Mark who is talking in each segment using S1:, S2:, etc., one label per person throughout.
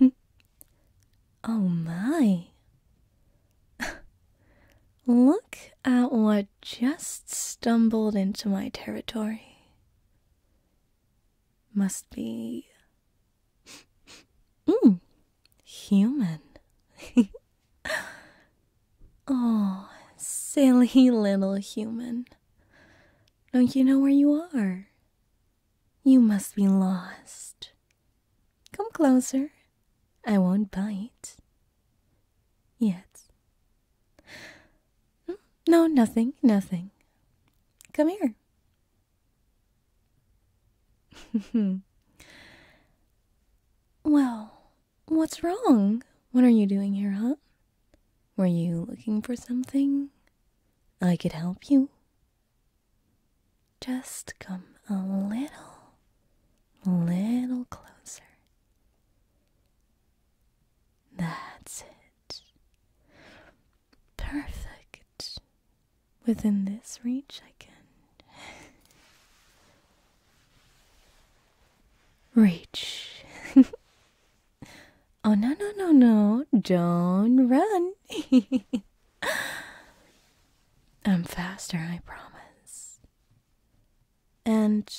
S1: oh my! Look at what just stumbled into my territory. Must be. Mm, human. oh, silly little human. Don't you know where you are? You must be lost. Come closer. I won't bite. Yet. Mm, no, nothing, nothing. Come here. well, what's wrong? What are you doing here, huh? Were you looking for something? I could help you. Just come a little, little closer. That's it. Perfect. Within this reach, I can. Reach. Oh, no, no, no, no. Don't run. I'm faster, I promise. And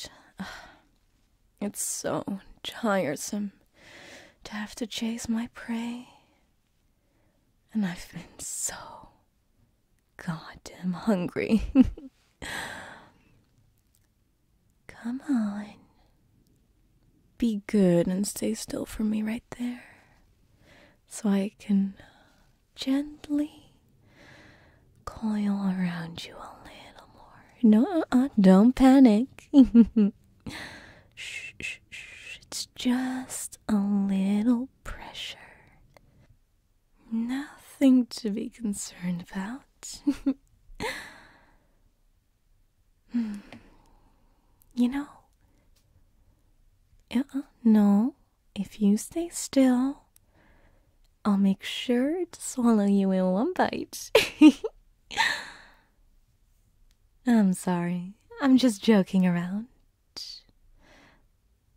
S1: it's so tiresome to have to chase my prey. And I've been so goddamn hungry. Come on. Be good and stay still for me right there so I can gently coil around you a little more. No, uh-uh, don't panic. shh, shh, shh. It's just a little pressure. Nothing to be concerned about. Hmm. You know, uh, uh, no, if you stay still, I'll make sure to swallow you in one bite. I'm sorry, I'm just joking around.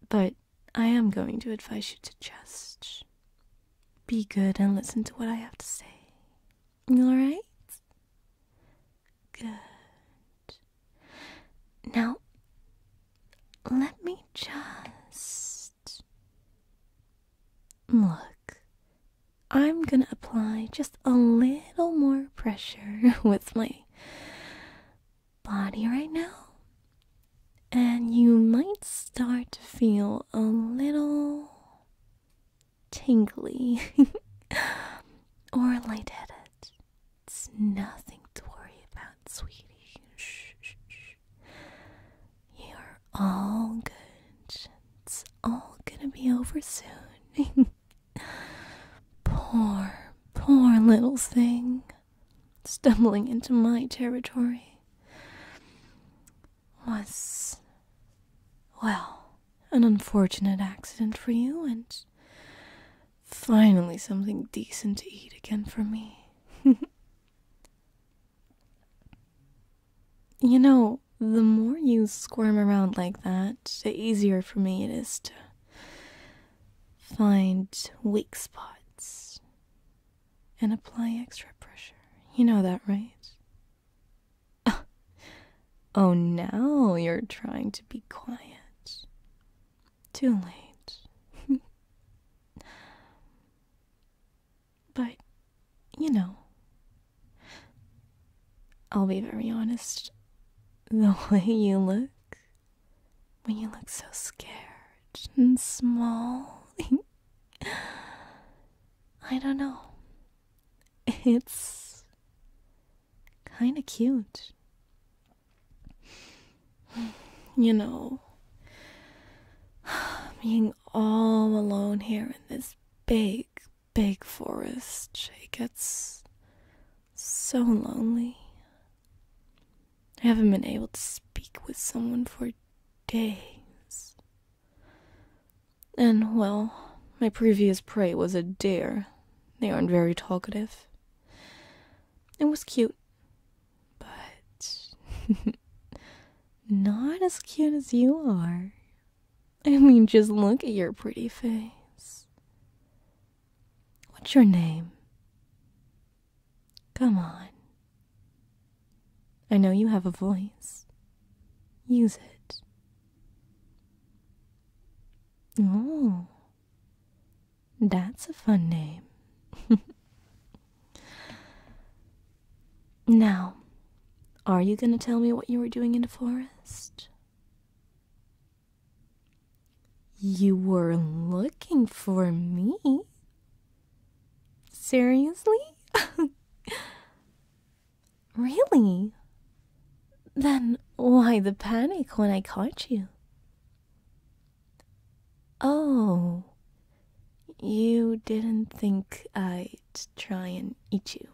S1: But I am going to advise you to just be good and listen to what I have to say. All right? Good. Now, let me just look. I'm going to apply just a little more pressure with my body right now. And you might start to feel a little tingly, or light headed It's nothing to worry about, sweetie. Shh, shh, shh. You're all good. It's all gonna be over soon. poor, poor little thing, stumbling into my territory was, well, an unfortunate accident for you, and finally something decent to eat again for me. you know, the more you squirm around like that, the easier for me it is to find weak spots and apply extra pressure. You know that, right? oh, now you're trying to be quiet. Too late. but, you know, I'll be very honest. The way you look, when you look so scared and small. I don't know. It's kind of cute. You know, being all alone here in this big, big forest, it gets so lonely. I haven't been able to speak with someone for days. And, well, my previous prey was a deer. They aren't very talkative. It was cute, but not as cute as you are. I mean, just look at your pretty face. What's your name? Come on, I know you have a voice. Use it. Oh, that's a fun name. now, are you going to tell me what you were doing in the forest? You were looking for me, Seriously? really? Then why the panic when I caught you? Oh, you didn't think I'd try and eat you?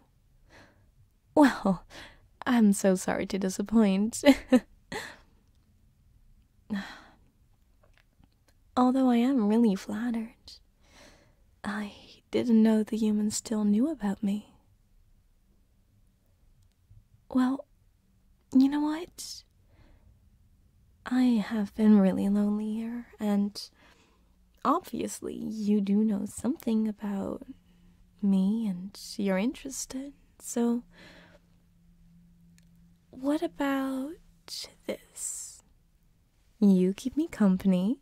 S1: Well, I'm so sorry to disappoint. although I am really flattered. I didn't know the humans still knew about me. Well, you know what? I have been really lonely here, and obviously, you do know something about me and you're interested, so what about this? You keep me company,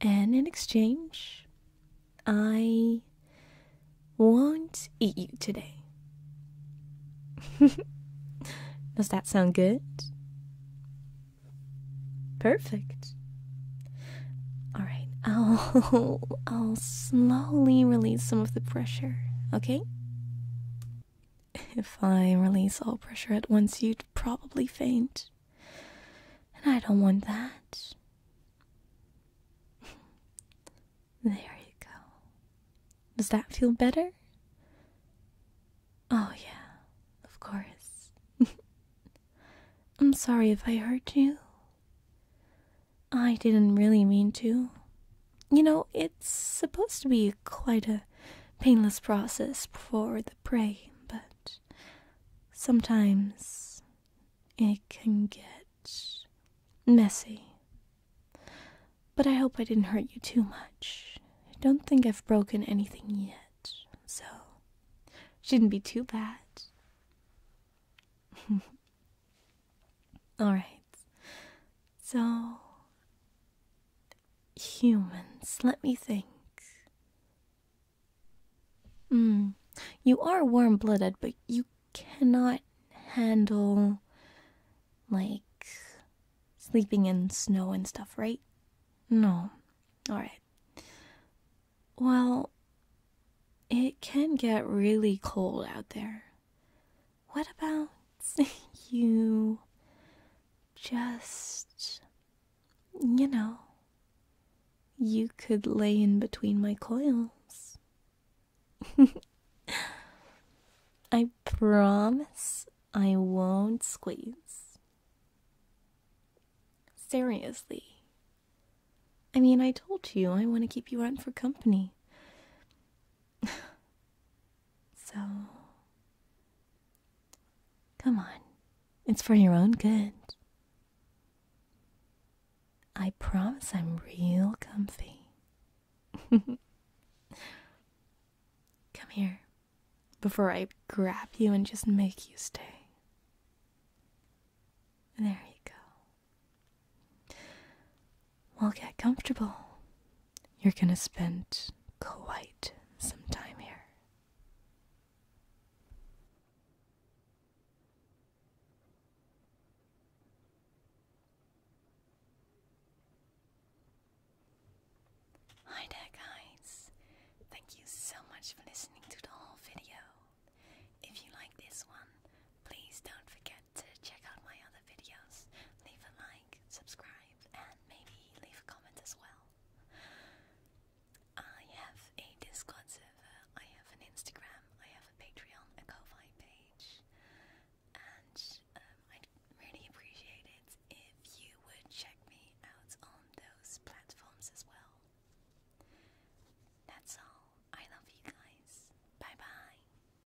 S1: and in exchange, I won't eat you today. Does that sound good? Perfect. All right, I'll I'll slowly release some of the pressure, okay? If I release all pressure at once, you'd probably faint. And I don't want that. there you go. Does that feel better? Oh, yeah, of course. I'm sorry if I hurt you. I didn't really mean to. You know, it's supposed to be quite a painless process for the prey, but sometimes it can get messy. But I hope I didn't hurt you too much. I don't think I've broken anything yet, so shouldn't be too bad. All right. So humans. Let me think. Mm, you are warm blooded, but you cannot handle, like, sleeping in snow and stuff, right? No. Alright. Well, it can get really cold out there. What about you just, you know, you could lay in between my coils? I promise I won't squeeze. Seriously. I mean, I told you I want to keep you out for company. so, come on. It's for your own good. I promise I'm real comfy. Come here before I grab you and just make you stay. There you go. Well, get comfortable. You're going to spend quite some time here. Hi there, guys. Thank you so much for listening to the whole video. If you like this one, please don't forget to check out my other videos, leave a like, subscribe, and maybe leave a comment as well. I have a Discord server, I have an Instagram, I have a Patreon, a ko page, and um, I'd really appreciate it if you would check me out on those platforms as well. That's all. I love you guys. Bye bye.